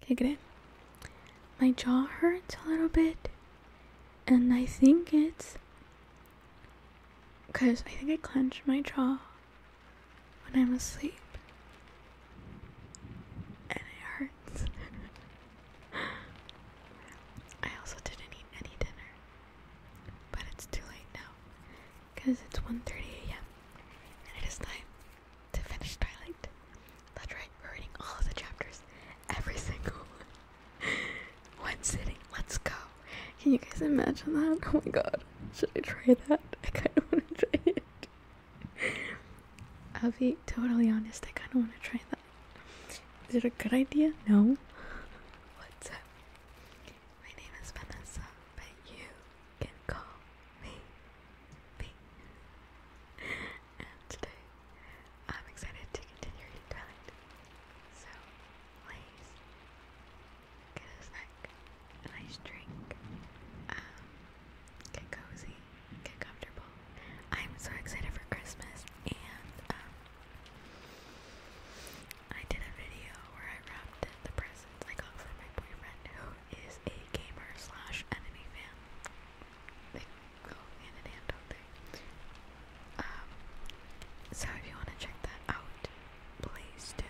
Kick it in. My jaw hurts a little bit, and I think it's because I think I clench my jaw when I'm asleep. And it hurts. I also didn't eat any dinner. But it's too late now. Because it's 1.30 a.m. And it is time to finish Twilight. That's right, we're reading all of the chapters, every single one. one sitting, let's go. Can you guys imagine that? Oh my god, should I try that? I kind of want to try it. I'll be totally honest, I kind of want to try that. Is it a good idea? No. What's up? My name is Vanessa, but you can call me B today I'm excited to continue reading Twilight. So, please get a snack, a nice drink, um, get cozy, get comfortable. I'm so excited for Christmas, and um, I did a video where I wrapped the presents I got from my boyfriend who is a gamer slash anime fan. They go hand in hand, um, so if you want to check that out, please do.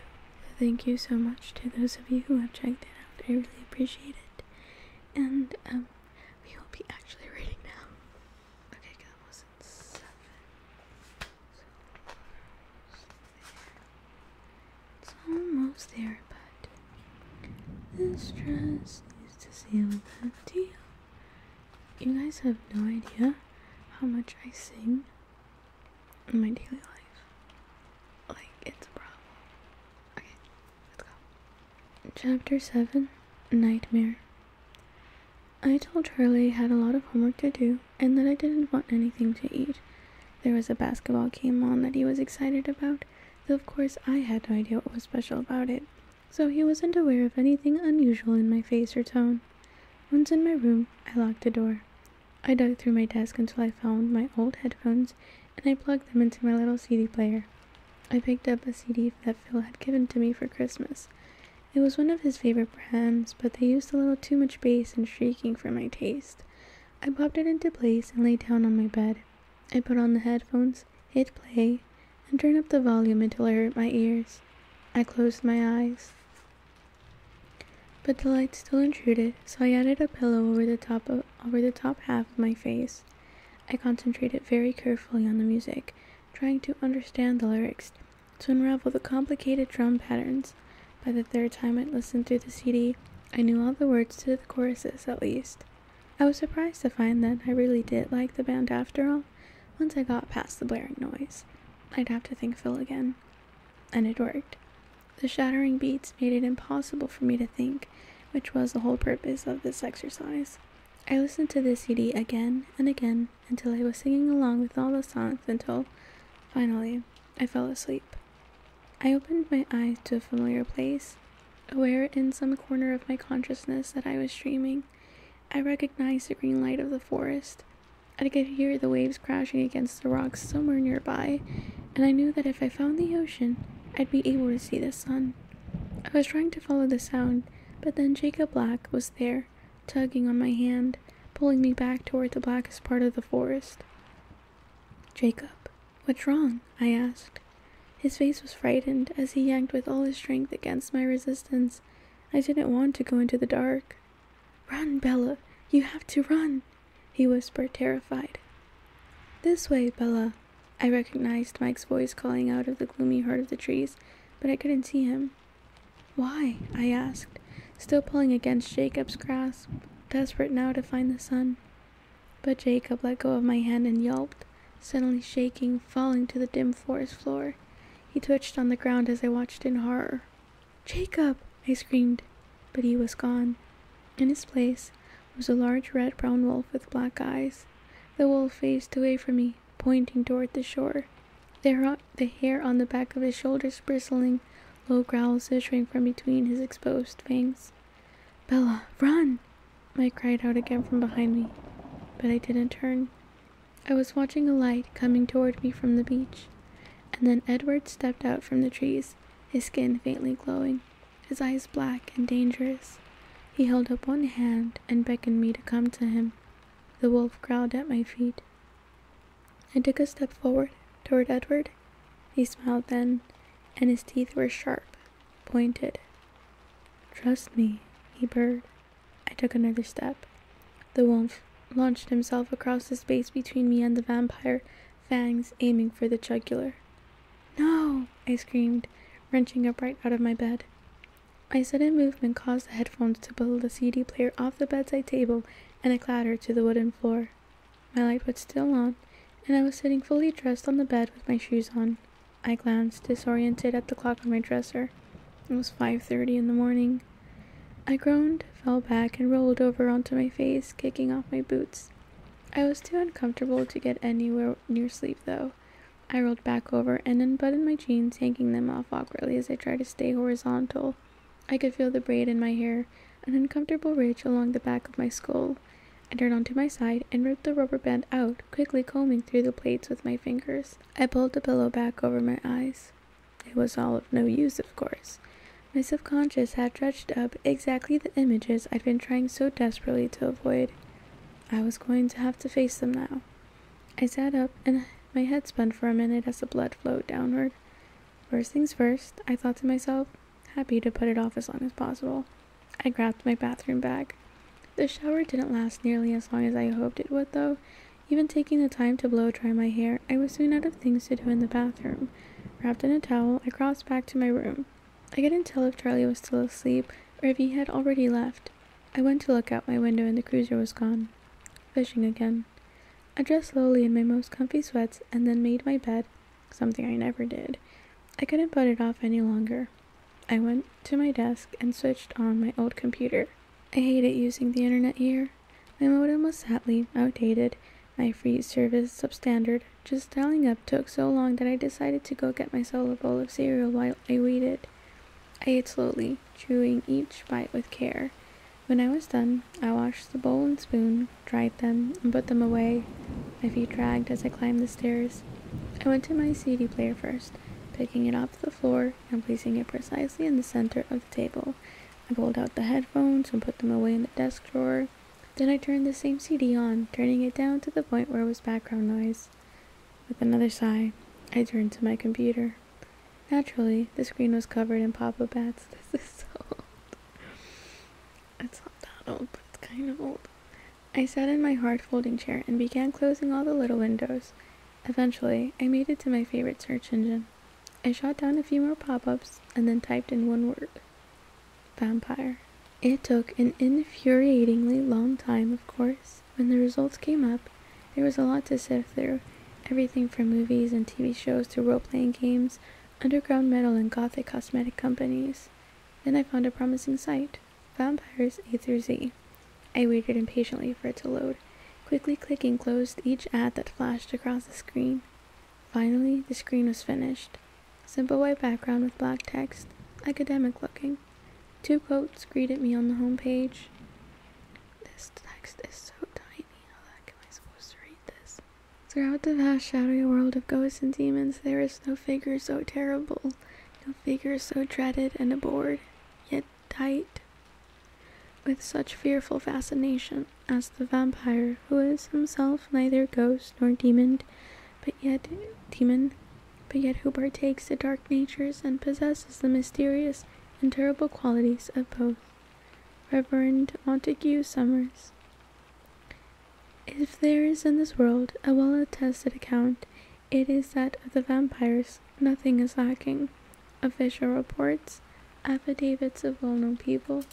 Thank you so much to those of you who have checked it out. I really appreciate it. And um, we will be actually reading now. Okay, that was at seven. It's almost there, but this dress needs to seal the deal. You guys have no idea how much I sing in my daily life. Like, it's a problem. Okay, let's go. Chapter 7 Nightmare. I told Charlie I had a lot of homework to do and that I didn't want anything to eat. There was a basketball game on that he was excited about, though of course I had no idea what was special about it, so he wasn't aware of anything unusual in my face or tone. Once in my room, I locked the door. I dug through my desk until I found my old headphones and I plugged them into my little CD player. I picked up a CD that Phil had given to me for Christmas. It was one of his favorite brands, but they used a little too much bass and shrieking for my taste. I popped it into place and lay down on my bed. I put on the headphones, hit play, and turned up the volume until I hurt my ears. I closed my eyes. But the light still intruded, so I added a pillow over the top of, over the top half of my face. I concentrated very carefully on the music, trying to understand the lyrics, to unravel the complicated drum patterns. By the third time I listened to the CD, I knew all the words to the choruses at least. I was surprised to find that I really did like the band after all, once I got past the blaring noise. I'd have to think Phil again. And it worked. The shattering beats made it impossible for me to think, which was the whole purpose of this exercise. I listened to the CD again and again until I was singing along with all the songs until, finally, I fell asleep. I opened my eyes to a familiar place, aware in some corner of my consciousness that I was dreaming. I recognized the green light of the forest. I could hear the waves crashing against the rocks somewhere nearby, and I knew that if I found the ocean, I'd be able to see the sun. I was trying to follow the sound, but then Jacob Black was there, tugging on my hand, pulling me back toward the blackest part of the forest. Jacob, What's wrong? I asked. His face was frightened as he yanked with all his strength against my resistance. I didn't want to go into the dark. Run, Bella! You have to run! He whispered, terrified. This way, Bella! I recognized Mike's voice calling out of the gloomy heart of the trees, but I couldn't see him. Why? I asked, still pulling against Jacob's grasp, desperate now to find the sun. But Jacob let go of my hand and yelped, suddenly shaking, falling to the dim forest floor. He twitched on the ground as I watched in horror. Jacob! I screamed, but he was gone. In his place was a large red brown wolf with black eyes. The wolf faced away from me, pointing toward the shore, the hair on the back of his shoulders bristling, low growls issuing from between his exposed fangs. Bella, run! I cried out again from behind me, but I didn't turn. I was watching a light coming toward me from the beach, and then Edward stepped out from the trees, his skin faintly glowing, his eyes black and dangerous. He held up one hand and beckoned me to come to him. The wolf growled at my feet. I took a step forward toward Edward. He smiled then, and his teeth were sharp pointed. Trust me, he purred. I took another step. The wolf launched himself across the space between me and the vampire, fangs aiming for the jugular. No! I screamed, wrenching upright out of my bed. My sudden movement caused the headphones to pull the CD player off the bedside table and a clatter to the wooden floor. My light was still on, and I was sitting fully dressed on the bed with my shoes on. I glanced, disoriented, at the clock on my dresser. It was 5:30 in the morning. I groaned, fell back, and rolled over onto my face, kicking off my boots. I was too uncomfortable to get anywhere near sleep, though. I rolled back over and unbuttoned my jeans, yanking them off awkwardly as I tried to stay horizontal. I could feel the braid in my hair, an uncomfortable ridge along the back of my skull. I turned onto my side and ripped the rubber band out, quickly combing through the plates with my fingers. I pulled the pillow back over my eyes. It was all of no use, of course. My subconscious had dredged up exactly the images I'd been trying so desperately to avoid. I was going to have to face them now. I sat up and my head spun for a minute as the blood flowed downward. First things first, I thought to myself, happy to put it off as long as possible. I grabbed my bathroom bag. The shower didn't last nearly as long as I hoped it would, though. Even taking the time to blow dry my hair, I was soon out of things to do in the bathroom. Wrapped in a towel, I crossed back to my room. I couldn't tell if Charlie was still asleep or if he had already left. I went to look out my window and the cruiser was gone. Fishing again. I dressed slowly in my most comfy sweats and then made my bed something I never did. I couldn't put it off any longer. I went to my desk and switched on my old computer. I hated using the internet here. My modem was sadly outdated, my free service substandard. Just dialing up took so long that I decided to go get myself a bowl of cereal while I waited. I ate slowly, chewing each bite with care. When I was done, I washed the bowl and spoon, dried them, and put them away. My feet dragged as I climbed the stairs. I went to my CD player first, picking it off the floor and placing it precisely in the center of the table. I pulled out the headphones and put them away in the desk drawer. Then I turned the same CD on, turning it down to the point where it was background noise. With another sigh, I turned to my computer. Naturally, the screen was covered in pop-up ads. This is so old. It's not that old, but it's kind of old. I sat in my hard folding chair and began closing all the little windows. Eventually, I made it to my favorite search engine. I shot down a few more pop ups and then typed in one word vampire. It took an infuriatingly long time, of course. When the results came up, there was a lot to sift through everything from movies and TV shows to role playing games, underground metal, and gothic cosmetic companies. Then I found a promising site. Vampires A through Z. I waited impatiently for it to load, quickly clicking closed each ad that flashed across the screen. Finally, the screen was finished. Simple white background with black text, academic looking. Two quotes greeted me on the home page. This text is so tiny, how the heck am I supposed to read this? Throughout the vast shadowy world of ghosts and demons, there is no figure so terrible no figure so dreaded and abhorred, yet dight with such fearful fascination as the vampire, who is himself neither ghost nor demon, but yet demon, but yet who partakes the dark natures and possesses the mysterious and terrible qualities of both. Reverend Montague Summers. If there is in this world a well attested account, it is that of the vampires. Nothing is lacking. Official reports, affidavits of well known people.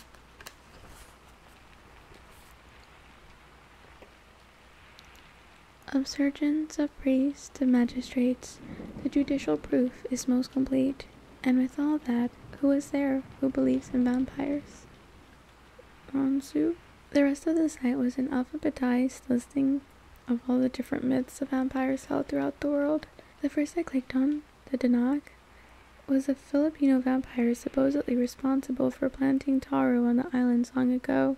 Of surgeons, of priests, of magistrates, the judicial proof is most complete, and with all that, who is there who believes in vampires? Anzu. The rest of the site was an alphabetized listing of all the different myths of vampires held throughout the world. The first I clicked on, the Danag, was a Filipino vampire supposedly responsible for planting taro on the islands long ago.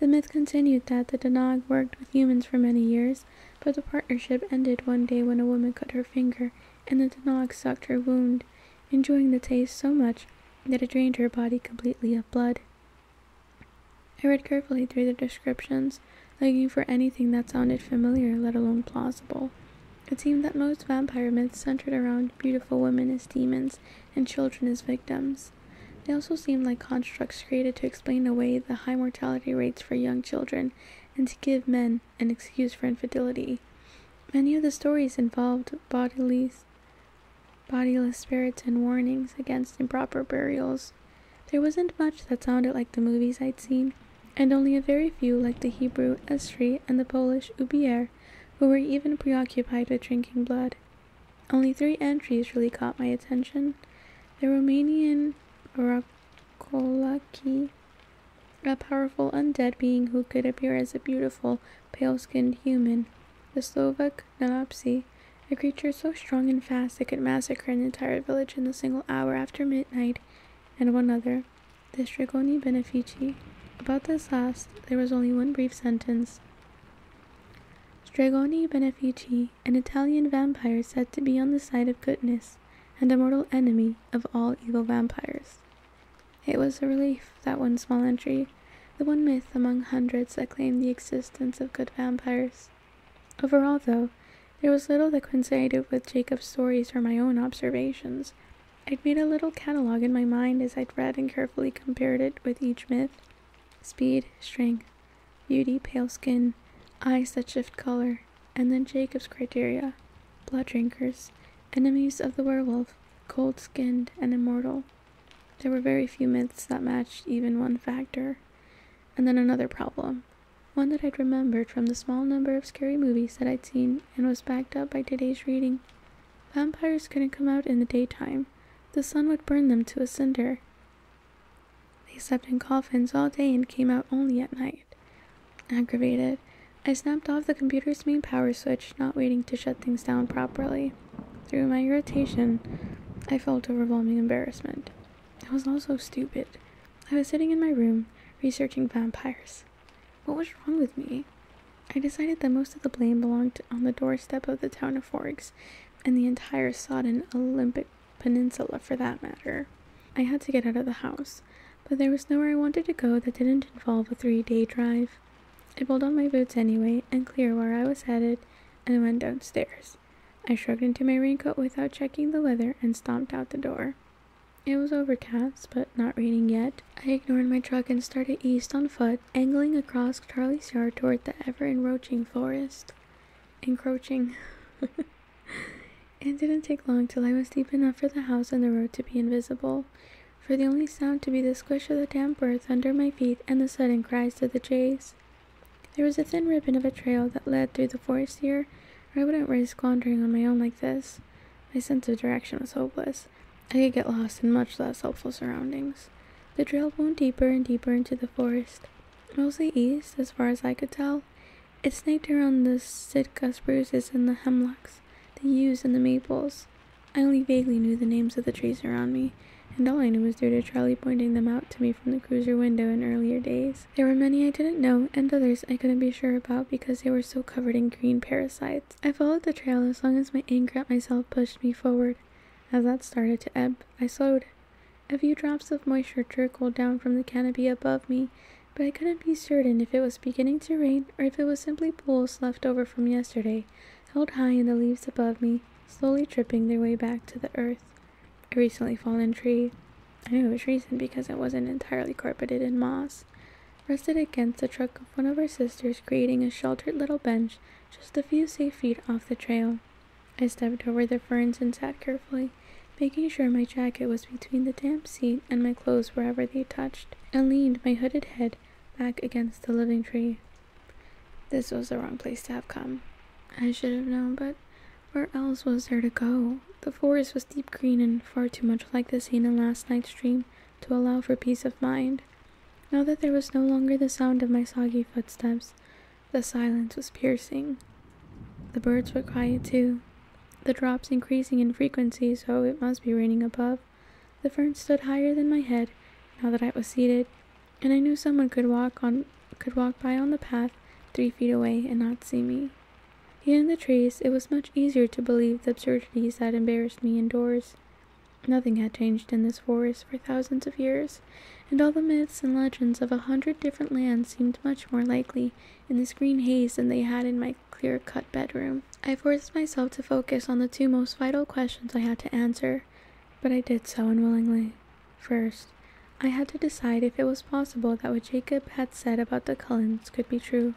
The myth continued that the Danag worked with humans for many years, but the partnership ended one day when a woman cut her finger and the Danag sucked her wound enjoying the taste so much that it drained her body completely of blood. I read carefully through the descriptions, looking for anything that sounded familiar, let alone plausible. It seemed that most vampire myths centered around beautiful women as demons and children as victims. They also seemed like constructs created to explain away the high mortality rates for young children and to give men an excuse for infidelity. Many of the stories involved bodily bodiless spirits, and warnings against improper burials. There wasn't much that sounded like the movies I'd seen, and only a very few like the Hebrew Esri and the Polish Ubier, who were even preoccupied with drinking blood. Only three entries really caught my attention. The Romanian Rakolaki, a powerful undead being who could appear as a beautiful, pale skinned human. The Slovak Nanopsi, a creature so strong and fast it could massacre an entire village in the single hour after midnight, and one other, the Strigoni Benefici. About this last, there was only one brief sentence. Strigoni Benefici, an Italian vampire said to be on the side of goodness, and a mortal enemy of all evil vampires. It was a relief, that one small entry, the one myth among hundreds that claimed the existence of good vampires. Overall, though, there was little that coincided with Jacob's stories or my own observations. I'd made a little catalog in my mind as I'd read and carefully compared it with each myth speed, strength, beauty, pale skin, eyes that shift color, and then Jacob's criteria blood drinkers, enemies of the werewolf, cold skinned, and immortal. There were very few myths that matched even one factor. And then another problem. One that I'd remembered from the small number of scary movies that I'd seen and was backed up by today's reading. Vampires couldn't come out in the daytime. The sun would burn them to a cinder. They slept in coffins all day and came out only at night. Aggravated, I snapped off the computer's main power switch, not waiting to shut things down properly. Through my irritation, I felt overwhelming embarrassment. I was also stupid. I was sitting in my room researching vampires. What was wrong with me? I decided that most of the blame belonged on the doorstep of the town of Forks and the entire sodden Olympic Peninsula for that matter. I had to get out of the house, but there was nowhere I wanted to go that didn't involve a three day drive. I pulled on my boots anyway and clear where I was headed and went downstairs. I shrugged into my raincoat without checking the weather and stomped out the door. It was overcast, but not raining yet. I ignored my truck and started east on foot, angling across Charlie's Yard toward the ever encroaching forest. Encroaching. it didn't take long till I was deep enough for the house and the road to be invisible, for the only sound to be the squish of the damp earth under my feet and the sudden cries eyes to the jays. There was a thin ribbon of a trail that led through the forest here, I wouldn't risk wandering on my own like this. My sense of direction was hopeless. I could get lost in much less helpful surroundings. The trail wound deeper and deeper into the forest, mostly east, as far as I could tell. It snaked around the Sitka spruces and the hemlocks, the yews and the maples. I only vaguely knew the names of the trees around me, and all I knew was due to Charlie pointing them out to me from the cruiser window in earlier days. There were many I didn't know, and others I couldn't be sure about because they were so covered in green parasites. I followed the trail as long as my anger at myself pushed me forward. As that started to ebb, I slowed. A few drops of moisture trickled down from the canopy above me, but I couldn't be certain if it was beginning to rain or if it was simply pools left over from yesterday, held high in the leaves above me, slowly tripping their way back to the earth. A recently fallen tree, I knew it was recent because it wasn't entirely carpeted in moss, rested against the trunk of one of our sisters, creating a sheltered little bench just a few safe feet off the trail. I stepped over the ferns and sat carefully, making sure my jacket was between the damp seat and my clothes wherever they touched, and leaned my hooded head back against the living tree. This was the wrong place to have come. I should have known, but where else was there to go? The forest was deep green and far too much like the scene in last night's dream to allow for peace of mind. Now that there was no longer the sound of my soggy footsteps, the silence was piercing. The birds were quiet too, the drops increasing in frequency, so it must be raining above. The fern stood higher than my head now that I was seated, and I knew someone could walk on could walk by on the path three feet away and not see me. Here in the trees, it was much easier to believe the absurdities that embarrassed me indoors. Nothing had changed in this forest for thousands of years, and all the myths and legends of a hundred different lands seemed much more likely in this green haze than they had in my clear cut bedroom. I forced myself to focus on the two most vital questions I had to answer but I did so unwillingly. First, I had to decide if it was possible that what Jacob had said about the Cullens could be true.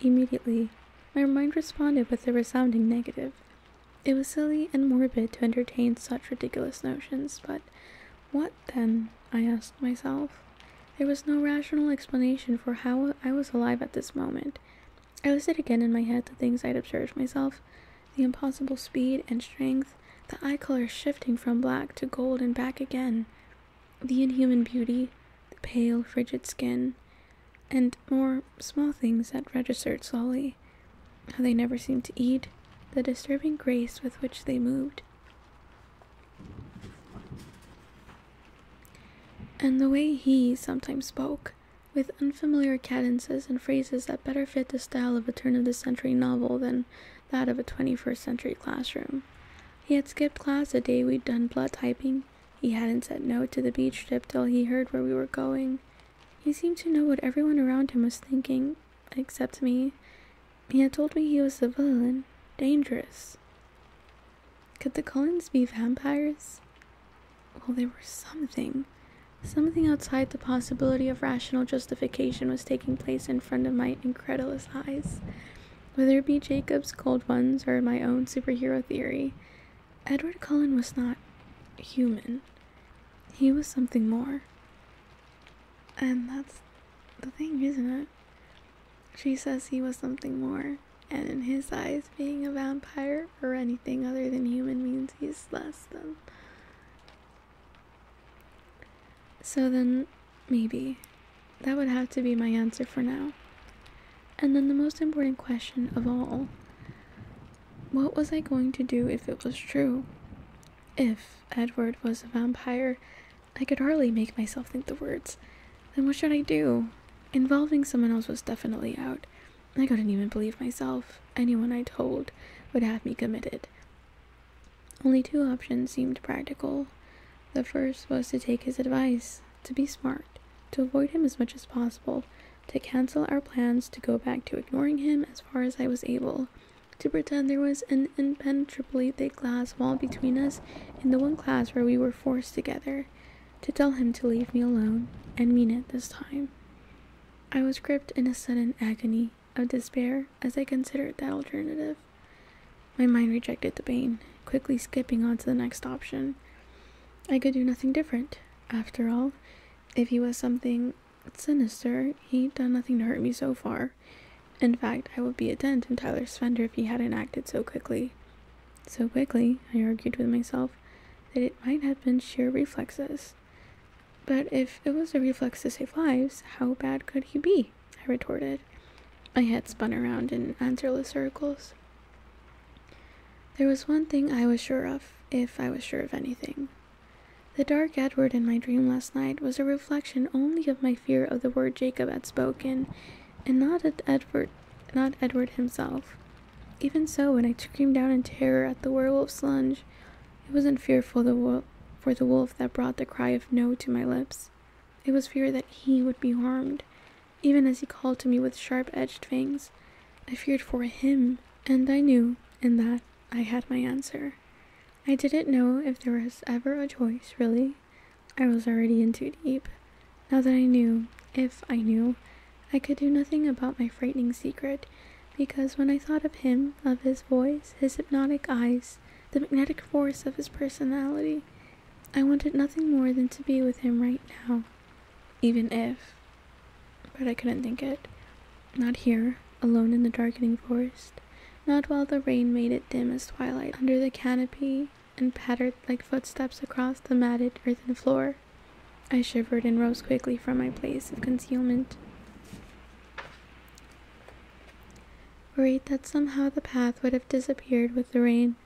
Immediately, my mind responded with a resounding negative. It was silly and morbid to entertain such ridiculous notions, but what then? I asked myself. There was no rational explanation for how I was alive at this moment, I listed again in my head the things I'd observed myself the impossible speed and strength, the eye color shifting from black to gold and back again, the inhuman beauty, the pale, frigid skin, and more small things that registered slowly how they never seemed to eat, the disturbing grace with which they moved. And the way he sometimes spoke, with unfamiliar cadences and phrases that better fit the style of a turn of the century novel than that of a 21st century classroom. He had skipped class the day we'd done blood typing. He hadn't said no to the beach trip till he heard where we were going. He seemed to know what everyone around him was thinking, except me. He had told me he was the villain, dangerous. Could the Collins be vampires? Well, there was something. Something outside the possibility of rational justification was taking place in front of my incredulous eyes. Whether it be Jacob's cold ones or my own superhero theory, Edward Cullen was not human. He was something more. And that's the thing, isn't it? She says he was something more, and in his eyes, being a vampire or anything other than human means he's less than. So then, maybe. That would have to be my answer for now. And then the most important question of all what was I going to do if it was true? If Edward was a vampire, I could hardly make myself think the words. Then what should I do? Involving someone else was definitely out. I couldn't even believe myself. Anyone I told would have me committed. Only two options seemed practical. The first was to take his advice, to be smart, to avoid him as much as possible, to cancel our plans, to go back to ignoring him as far as I was able, to pretend there was an impenetrably thick glass wall between us in the one class where we were forced together, to tell him to leave me alone, and mean it this time. I was gripped in a sudden agony of despair as I considered that alternative. My mind rejected the pain, quickly skipping on to the next option. I could do nothing different. After all, if he was something sinister, he'd done nothing to hurt me so far. In fact, I would be a dent in Tyler's fender if he hadn't acted so quickly. So quickly, I argued with myself, that it might have been sheer reflexes. But if it was a reflex to save lives, how bad could he be? I retorted. My head spun around in answerless circles. There was one thing I was sure of, if I was sure of anything. The dark Edward in my dream last night was a reflection only of my fear of the word Jacob had spoken, and not Edward, not Edward himself. Even so, when I screamed out in terror at the werewolf's lunge, it wasn't fear for the wolf that brought the cry of no to my lips. It was fear that he would be harmed. Even as he called to me with sharp edged fangs, I feared for him, and I knew in that I had my answer. I didn't know if there was ever a choice, really. I was already in too deep. Now that I knew, if I knew, I could do nothing about my frightening secret, because when I thought of him, of his voice, his hypnotic eyes, the magnetic force of his personality, I wanted nothing more than to be with him right now. Even if. But I couldn't think it. Not here, alone in the darkening forest. Not while the rain made it dim as twilight under the canopy and pattered like footsteps across the matted earthen floor. I shivered and rose quickly from my place of concealment. Worried that somehow the path would have disappeared with the rain.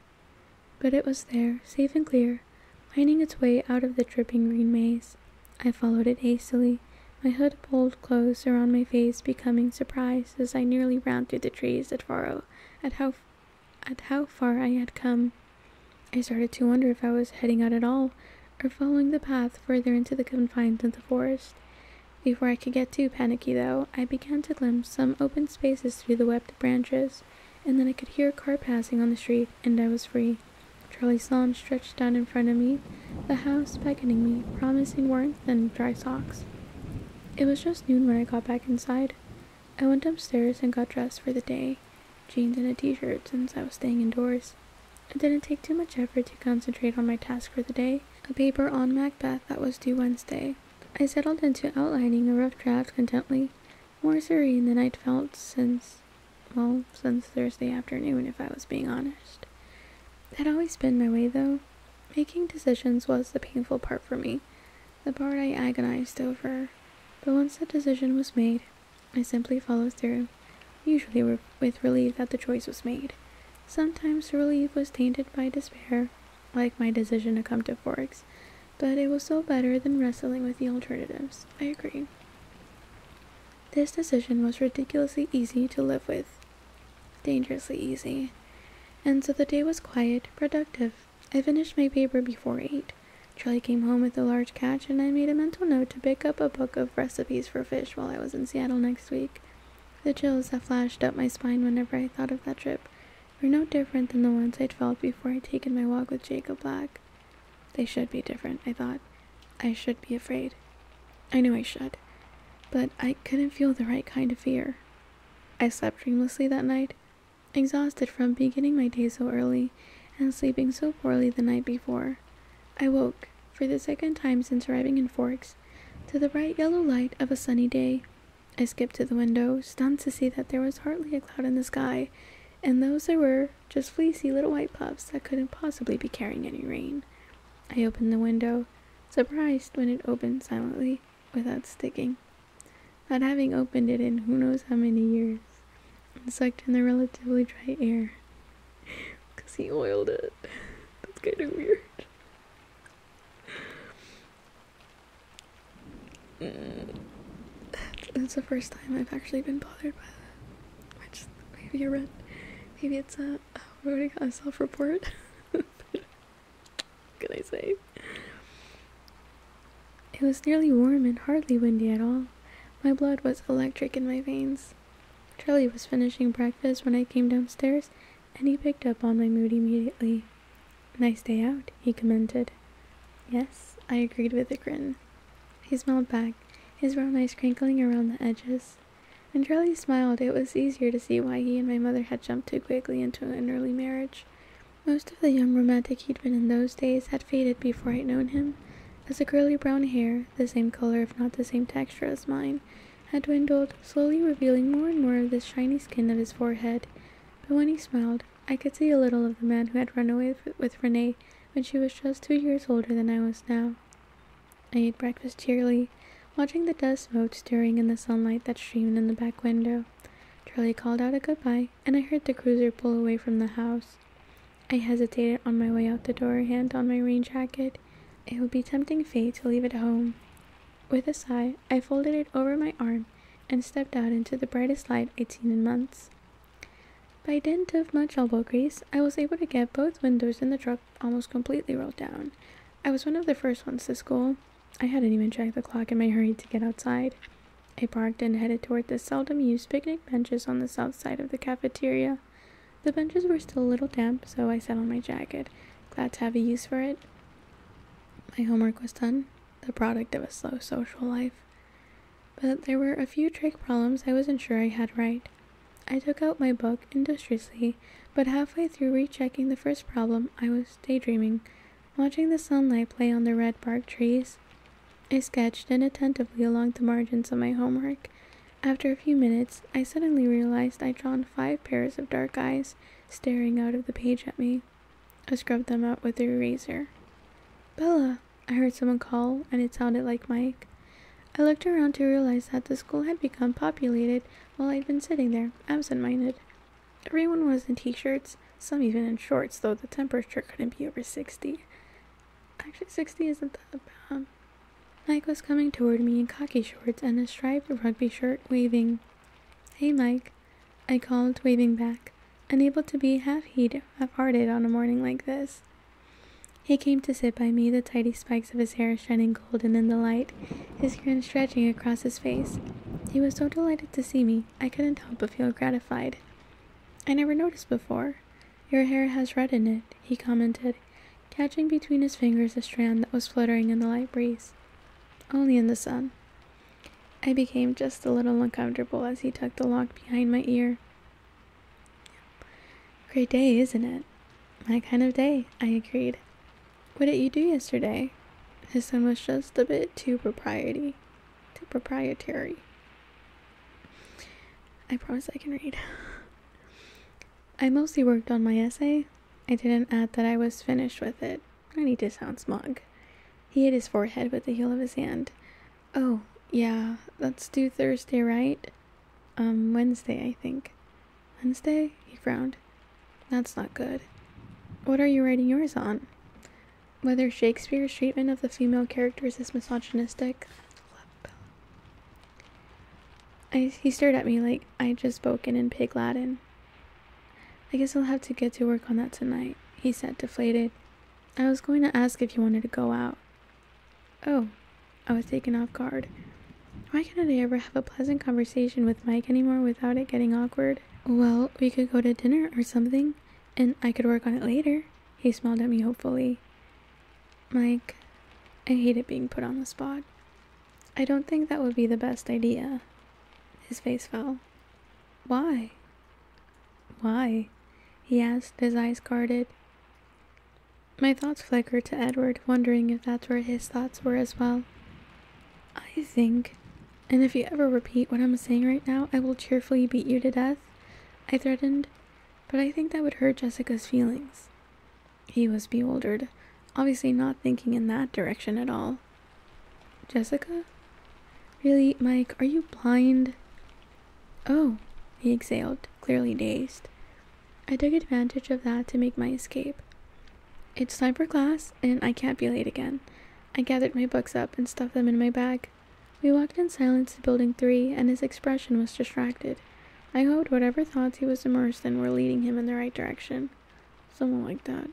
But it was there, safe and clear, finding its way out of the dripping green maze. I followed it hastily, my hood pulled close around my face, becoming surprised as I nearly ran through the trees at Faro at how at how far I had come. I started to wonder if I was heading out at all, or following the path further into the confines of the forest. Before I could get too panicky, though, I began to glimpse some open spaces through the webbed branches, and then I could hear a car passing on the street, and I was free. Charlie Sloane stretched down in front of me, the house beckoning me, promising warmth and dry socks. It was just noon when I got back inside. I went downstairs and got dressed for the day jeans and a t-shirt since I was staying indoors. It didn't take too much effort to concentrate on my task for the day, a paper on Macbeth that was due Wednesday. I settled into outlining a rough draft contently, more serene than i felt since, well, since Thursday afternoon, if I was being honest. That always been my way, though. Making decisions was the painful part for me, the part I agonized over. But once the decision was made, I simply followed through, usually with relief that the choice was made. Sometimes relief was tainted by despair, like my decision to come to Forks, but it was still better than wrestling with the alternatives. I agree. This decision was ridiculously easy to live with. Dangerously easy. And so the day was quiet, productive. I finished my paper before eight. Charlie came home with a large catch, and I made a mental note to pick up a book of recipes recipes for fish while I was in Seattle next week. The chills that flashed up my spine whenever I thought of that trip were no different than the ones I'd felt before I'd taken my walk with Jacob Black. They should be different, I thought. I should be afraid. I knew I should, but I couldn't feel the right kind of fear. I slept dreamlessly that night, exhausted from beginning my day so early and sleeping so poorly the night before. I woke, for the second time since arriving in Forks, to the bright yellow light of a sunny day. I skipped to the window, stunned to see that there was hardly a cloud in the sky, and those there were just fleecy little white puffs that couldn't possibly be carrying any rain. I opened the window, surprised when it opened silently, without sticking, not having opened it in who knows how many years and sucked in the relatively dry air because he oiled it. That's kind of weird. Mm. That's, the first time I've actually been bothered by that. Which maybe a rent, maybe it's a oh, we already got a self-report. can I say? It was nearly warm and hardly windy at all. My blood was electric in my veins, us. Charlie was finishing breakfast when I came downstairs, and he picked up on my mood immediately. Nice day out, he commented. Yes, I agreed with a grin. He smiled back, his brown eyes crinkling around the edges. When Charlie smiled, it was easier to see why he and my mother had jumped too quickly into an early marriage. Most of the young romantic he'd been in those days had faded before I'd known him, as the curly brown hair, the same color if not the same texture as mine, had dwindled, slowly revealing more and more of the shiny skin of his forehead. But when he smiled, I could see a little of the man who had run away with Renee when she was just two years older than I was now. I ate breakfast cheerily, watching the dust mote stirring in the sunlight that streamed in the back window. Charlie called out a good-bye, and I heard the cruiser pull away from the house. I hesitated on my way out the door, hand on my rain jacket. It would be tempting fate to leave it home. With a sigh, I folded it over my arm and stepped out into the brightest light eighteen in months. By dint of much elbow grease, I was able to get both windows in the truck almost completely rolled down. I was one of the first ones to school. I hadn't even checked the clock in my hurry to get outside. I parked and headed toward the seldom used picnic benches on the south side of the cafeteria. The benches were still a little damp, so I sat on my jacket, glad to have a use for it. My homework was done, the product of a slow social life. But there were a few trig problems I wasn't sure I had right. I took out my book industriously, but halfway through rechecking the first problem, I was daydreaming, watching the sunlight play on the red bark trees. I sketched inattentively along the margins of my homework, after a few minutes, I suddenly realized I'd drawn five pairs of dark eyes staring out of the page at me. I scrubbed them out with the eraser. Bella, I heard someone call, and it sounded like Mike. I looked around to realize that the school had become populated while I'd been sitting there, absent minded. Everyone was in t shirts, some even in shorts, though the temperature couldn't be over 60. Actually, 60 isn't that bad. Mike was coming toward me in khaki shorts and a striped rugby shirt, waving. Hey, Mike, I called, waving back, unable to be half heed, half hearted on a morning like this. He came to sit by me, the tidy spikes of his hair shining golden in the light, his grin stretching across his face. He was so delighted to see me, I couldn't help but feel gratified. I never noticed before. Your hair has red in it, he commented, catching between his fingers a strand that was fluttering in the light breeze. Only in the sun. I became just a little uncomfortable as he tucked the lock behind my ear. Great day, isn't it? My kind of day, I agreed. What did you do yesterday? His tone was just a bit too propriety too proprietary. I promise I can read. I mostly worked on my essay. I didn't add that I was finished with it. I need to sound smug. He hit his forehead with the heel of his hand. Oh, yeah, that's due Thursday, right? Um, Wednesday, I think. Wednesday? He frowned. That's not good. What are you writing yours on? Whether Shakespeare's treatment of the female characters is misogynistic he stared at me like I'd just spoken in pig Latin. I guess I'll have to get to work on that tonight, he said, deflated. I was going to ask if you wanted to go out. Oh, I was taken off guard. Why can't I ever have a pleasant conversation with Mike anymore without it getting awkward? Well, we could go to dinner or something, and I could work on it later. He smiled at me hopefully. Mike, I hate it being put on the spot. I don't think that would be the best idea. His face fell. Why? Why? he asked, his eyes guarded. My thoughts flickered to Edward, wondering if that's where his thoughts were as well. I think, and if you ever repeat what I'm saying right now, I will cheerfully beat you to death, I threatened, but I think that would hurt Jessica's feelings. He was bewildered, obviously not thinking in that direction at all. Jessica? Really, Mike, are you blind? Oh, he exhaled, clearly dazed. I took advantage of that to make my escape. It's time for class, and I can't be late again. I gathered my books up and stuffed them in my bag. We walked in silence to Building 3, and his expression was distracted. I hoped whatever thoughts he was immersed in were leading him in the right direction. someone like that.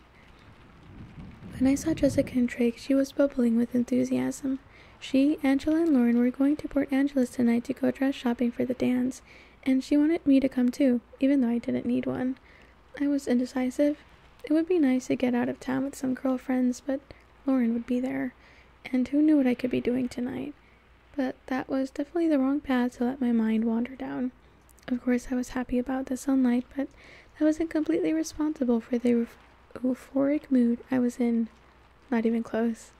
When I saw Jessica and Trake, she was bubbling with enthusiasm. She, Angela, and Lauren were going to Port Angeles tonight to go dress shopping for the dance, and she wanted me to come too, even though I didn't need one. I was indecisive. It would be nice to get out of town with some girl friends, but Lauren would be there, and who knew what I could be doing tonight? But that was definitely the wrong path to let my mind wander down. Of course, I was happy about the sunlight, but I wasn't completely responsible for the euphoric mood I was in. Not even close.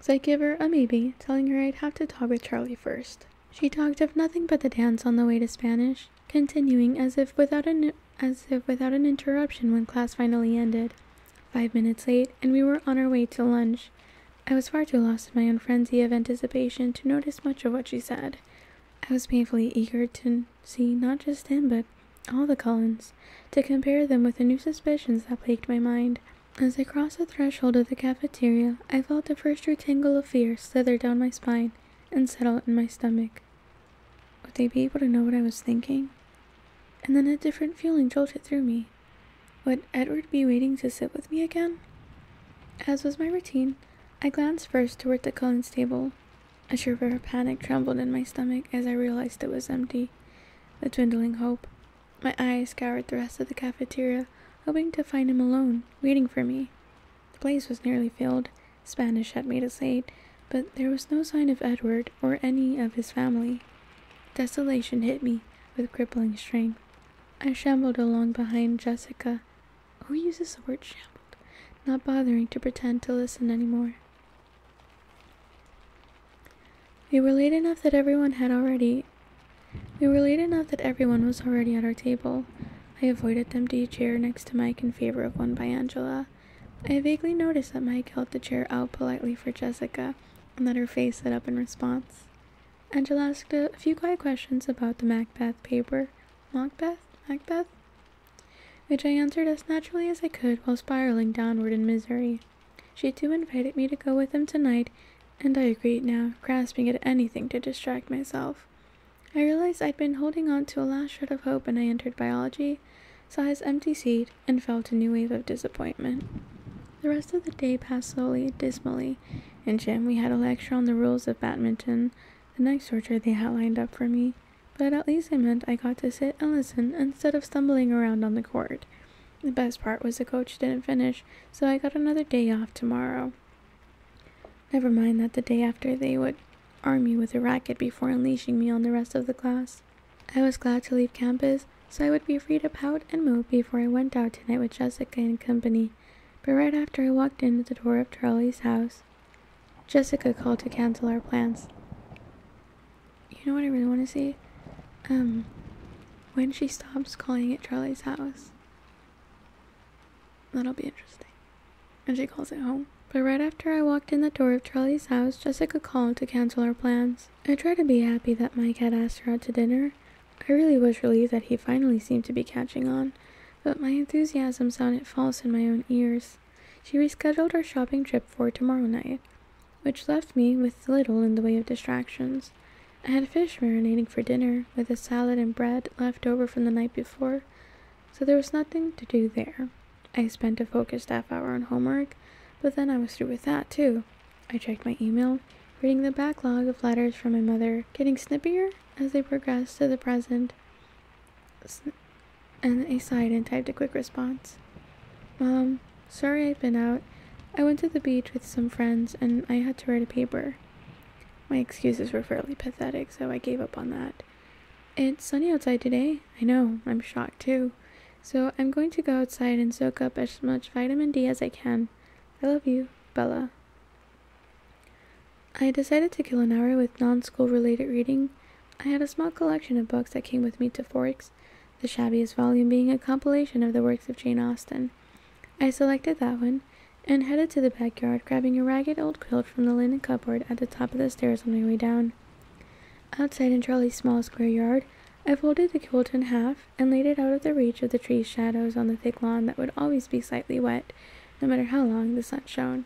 So I gave her a maybe, telling her I'd have to talk with Charlie first. She talked of nothing but the dance on the way to Spanish, continuing as if without an as if without an interruption when class finally ended. Five minutes late, and we were on our way to lunch. I was far too lost in my own frenzy of anticipation to notice much of what she said. I was painfully eager to see not just him, but all the Cullens, to compare them with the new suspicions that plagued my mind. As I crossed the threshold of the cafeteria, I felt the first tingle of fear slither down my spine and settle in my stomach. Would they be able to know what I was thinking? And then a different feeling jolted through me. Would Edward be waiting to sit with me again? As was my routine, I glanced first toward the Collins table. A shiver of panic trembled in my stomach as I realized it was empty. The dwindling hope. My eyes scoured the rest of the cafeteria, hoping to find him alone, waiting for me. The place was nearly filled. Spanish had made us late, but there was no sign of Edward or any of his family. Desolation hit me with crippling strain, I shambled along behind Jessica. Who uses the word shambled? Not bothering to pretend to listen any more. We were late enough that everyone had already. We were late enough that everyone was already at our table. I avoided the empty chair next to Mike in favor of one by Angela. I vaguely noticed that Mike held the chair out politely for Jessica, and let her face set up in response. Angela asked a few quiet questions about the Macbeth paper. Macbeth? Macbeth? Which I answered as naturally as I could while spiraling downward in misery. She too invited me to go with them tonight, and I agreed now, grasping at anything to distract myself. I realized I'd been holding on to a last shred of hope and I entered biology, saw his empty seat, and felt a new wave of disappointment. The rest of the day passed slowly, dismally. In gym, we had a lecture on the rules of badminton, the next torture they had lined up for me, but at least it meant I got to sit and listen instead of stumbling around on the court. The best part was the coach didn't finish, so I got another day off tomorrow. Never mind that the day after they would arm me with a racket before unleashing me on the rest of the class. I was glad to leave campus so I would be free to pout and mope before I went out tonight with Jessica and company. But right after I walked in at the door of Charlie's house, Jessica called to cancel our plans. You know what I really want to see? Um, when she stops calling it Charlie's house. That'll be interesting. And she calls it home. But right after I walked in the door of Charlie's house, Jessica called to cancel our plans. I tried to be happy that Mike had asked her out to dinner. I really was relieved that he finally seemed to be catching on, but my enthusiasm sounded false in my own ears. She rescheduled our shopping trip for tomorrow night, which left me with little in the way of distractions. I had fish marinating for dinner, with a salad and bread left over from the night before, so there was nothing to do there. I spent a focused half hour on homework, but then I was through with that too. I checked my email, reading the backlog of letters from my mother, getting snippier as they progressed to the present, and I sighed and typed a quick response. Mom, sorry I've been out. I went to the beach with some friends and I had to write a paper. My excuses were fairly pathetic, so I gave up on that. It's sunny outside today. I know, I'm shocked too. So I'm going to go outside and soak up as much vitamin D as I can. I love you, Bella. I decided to kill an hour with non school related reading. I had a small collection of books that came with me to Forks, the shabbiest volume being a compilation of the works of Jane Austen. I selected that one and headed to the backyard, grabbing a ragged old quilt from the linen cupboard at the top of the stairs on my way down. Outside in Charlie's small square yard, I folded the quilt in half and laid it out of the reach of the tree's shadows on the thick lawn that would always be slightly wet, no matter how long the sun shone.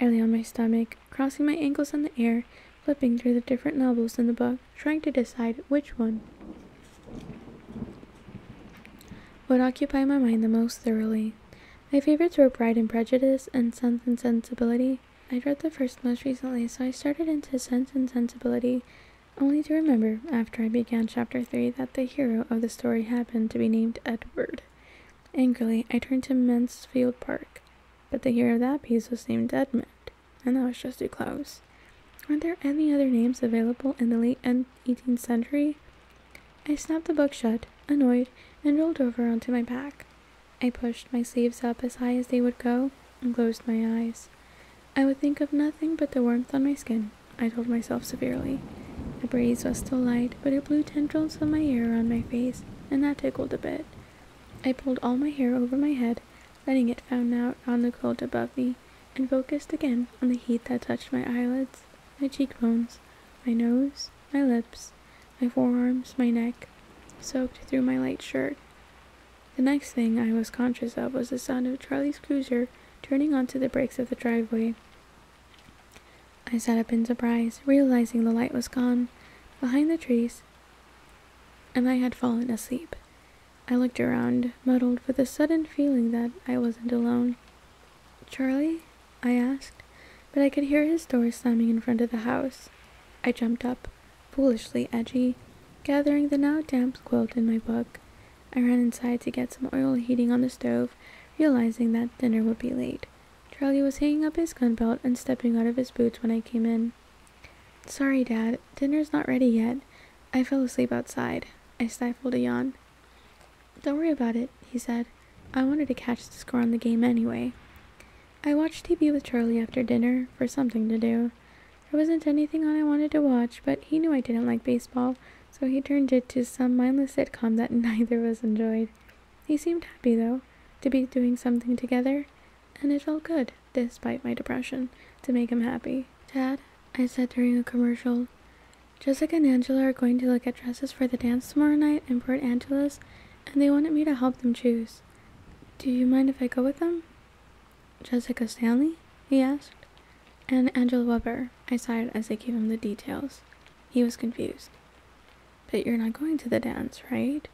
I lay on my stomach, crossing my ankles in the air, flipping through the different novels in the book, trying to decide which one would occupy my mind the most thoroughly. My favorites were Pride and Prejudice and Sense and Sensibility. I'd read the first most recently, so I started into Sense and Sensibility only to remember after I began chapter 3 that the hero of the story happened to be named Edward. Angrily, I turned to Mansfield Park, but the hero of that piece was named Edmund, and that was just too close. are there any other names available in the late 18th century? I snapped the book shut, annoyed, and rolled over onto my back. I pushed my sleeves up as high as they would go and closed my eyes. I would think of nothing but the warmth on my skin, I told myself severely. The breeze was still light, but it blew tendrils of my hair around my face, and that tickled a bit. I pulled all my hair over my head, letting it fan out on the cold above me, and focused again on the heat that touched my eyelids, my cheekbones, my nose, my lips, my forearms, my neck, soaked through my light shirt. The next thing I was conscious of was the sound of Charlie's cruiser turning onto the brakes of the driveway. I sat up in surprise, realizing the light was gone behind the trees, and I had fallen asleep. I looked around, muddled with a sudden feeling that I wasn't alone. Charlie? I asked, but I could hear his door slamming in front of the house. I jumped up, foolishly edgy, gathering the now damp quilt in my book. I ran inside to get some oil heating on the stove, realizing that dinner would be late. Charlie was hanging up his gun belt and stepping out of his boots when I came in. Sorry, Dad, dinner's not ready yet. I fell asleep outside. I stifled a yawn. Don't worry about it, he said. I wanted to catch the score on the game anyway. I watched TV with Charlie after dinner for something to do. There wasn't anything on I wanted to watch, but he knew I didn't like baseball, so he turned it to some mindless sitcom that neither of us enjoyed. He seemed happy, though, to be doing something together, and it felt good, despite my depression, to make him happy. Dad, I said during a commercial, Jessica and Angela are going to look at dresses for the dance tomorrow night in Port Angeles, and they wanted me to help them choose. Do you mind if I go with them? Jessica Stanley? he asked. And Angela Weber, I sighed as they gave him the details. He was confused. But you're not going to the dance, right?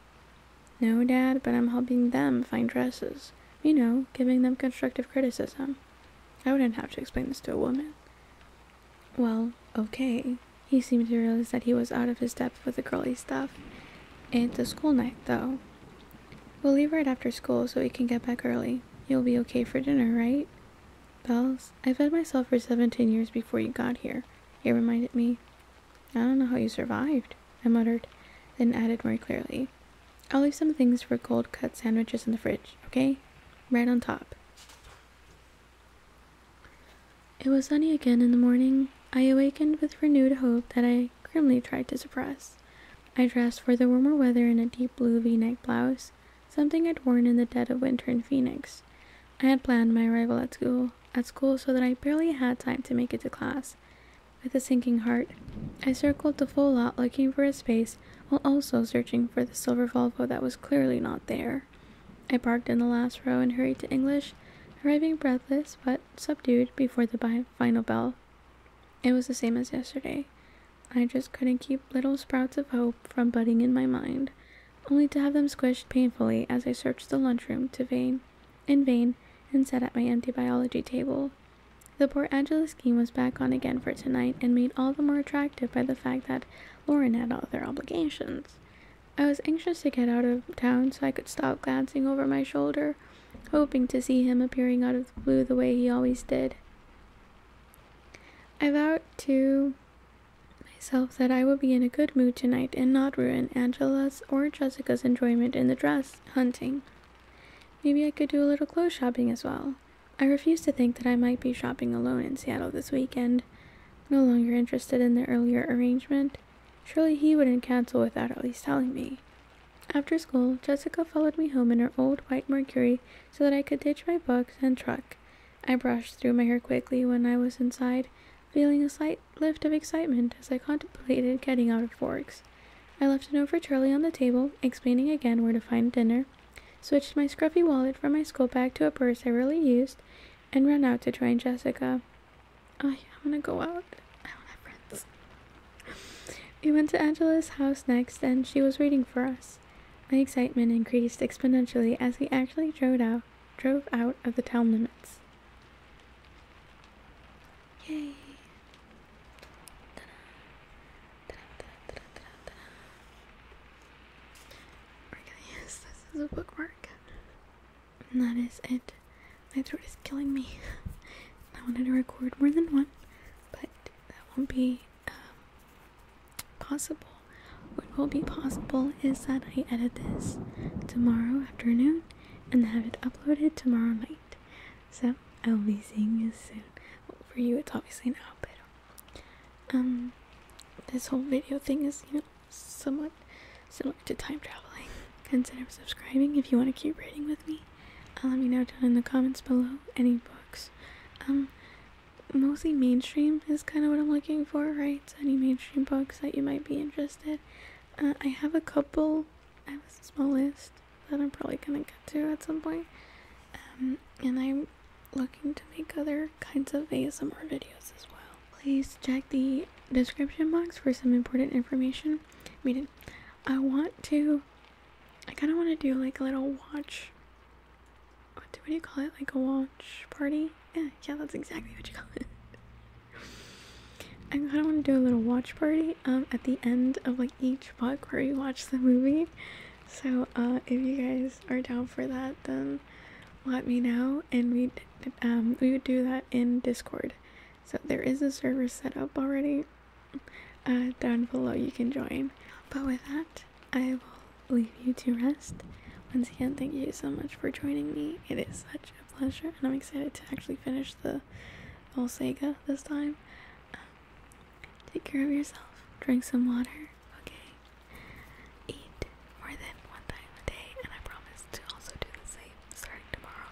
No, Dad, but I'm helping them find dresses. You know, giving them constructive criticism. I wouldn't have to explain this to a woman. Well, okay. He seemed to realize that he was out of his depth with the girly stuff. It's a school night, though. We'll leave right after school so we can get back early. You'll be okay for dinner, right? Bells, I fed myself for 17 years before you got here, he reminded me. I don't know how you survived, I muttered, then added more clearly. I'll leave some things for cold cut sandwiches in the fridge, okay? Right on top. It was sunny again in the morning. I awakened with renewed hope that I grimly tried to suppress. I dressed for the warmer weather in a deep blue v neck blouse, something I'd worn in the dead of winter in Phoenix. I had planned my arrival at school at school so that I barely had time to make it to class. With a sinking heart, I circled the full lot looking for a space while also searching for the silver Volvo that was clearly not there. I parked in the last row and hurried to English, arriving breathless but subdued before the final bell it was the same as yesterday. I just couldn't keep little sprouts of hope from budding in my mind, only to have them squished painfully as I searched the lunchroom to vain, in vain, and sat at my empty biology table. The poor Angela scheme was back on again for tonight and made all the more attractive by the fact that Lauren had other obligations. I was anxious to get out of town so I could stop glancing over my shoulder hoping to see him appearing out of the blue the way he always did. I vowed to myself that I would be in a good mood tonight and not ruin Angela's or Jessica's enjoyment in the dress hunting. Maybe I could do a little clothes shopping as well. I refused to think that I might be shopping alone in Seattle this weekend, no longer interested in the earlier arrangement. Surely he wouldn't cancel without at least telling me. After school, Jessica followed me home in her old white Mercury so that I could ditch my books and truck. I brushed through my hair quickly when I was inside, feeling a slight lift of excitement as I contemplated getting out of Forks. I left a note for Charlie on the table, explaining again where to find dinner, switched my scruffy wallet from my school bag to a purse I rarely used, and ran out to join Jessica. i want to go out. I don't have friends we went to Angela's house next, and she was waiting for us. My excitement increased exponentially as we actually drove out, drove out of the town limits. Yay! we this as a bookmark. And that is it. My throat is killing me. I wanted to record more than one, but that won't be um, possible. What will be possible is that I edit this tomorrow afternoon and have it uploaded tomorrow night. So I'll be seeing you soon. for you, it's obviously an outfit. Um, this whole video thing is, you know, somewhat similar to time traveling. Consider subscribing if you want to keep reading with me. Uh, let me know down in the comments below any books. Um, mostly mainstream is kind of what I'm looking for, right? So any mainstream books that you might be interested. Uh, I have a couple. I have a small list that I'm probably gonna get to at some um, and I'm looking to make other kinds of ASMR videos as well. Please check the description box for some important information. I I want to I kind of want to do like a little watch. What do, you call it? Like a watch party? Yeah, yeah, that's exactly what you call it. I kind of want to do a little watch party um, at the end of like each book where we watch the movie. So uh, if you guys are down for that, then let me know, and we um, we would do that in Discord. So there is a server set up already. Uh, down below you can join. But with that, I will leave you to rest. Once again, thank you so much for joining me. It is such a pleasure, and I'm excited to actually finish the whole Sega this time. Um, take care of yourself. Drink some water, okay? Eat more than one time a day, and I promise to also do the same starting tomorrow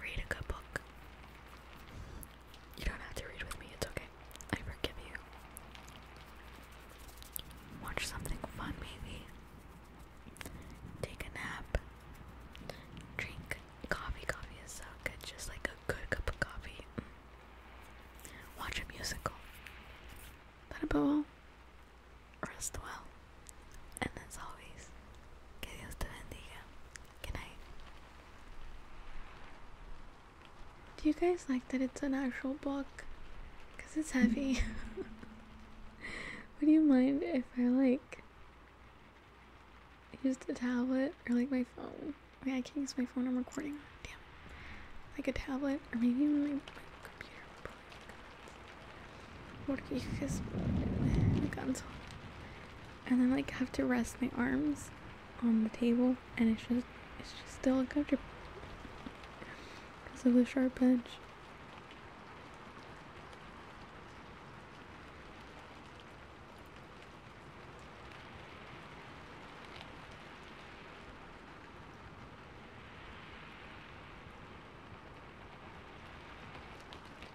read a good book. You don't have to read with me, it's okay. I forgive you. Watch something fun, maybe. Take a nap. Drink coffee. Coffee is so good, just like a good cup of coffee. Mm. Watch a musical. But above all, rest well. And as always, que Dios te bendiga. Good night. Do you guys like that it's an actual book? Because it's heavy. Would you mind if I like used a tablet or like my phone? I mean, I can't use my phone, I'm recording. Damn. Like a tablet or maybe even like my computer. Porque you guys. Me canso and I like have to rest my arms on the table and it's just it's just still uncomfortable because of the sharp edge.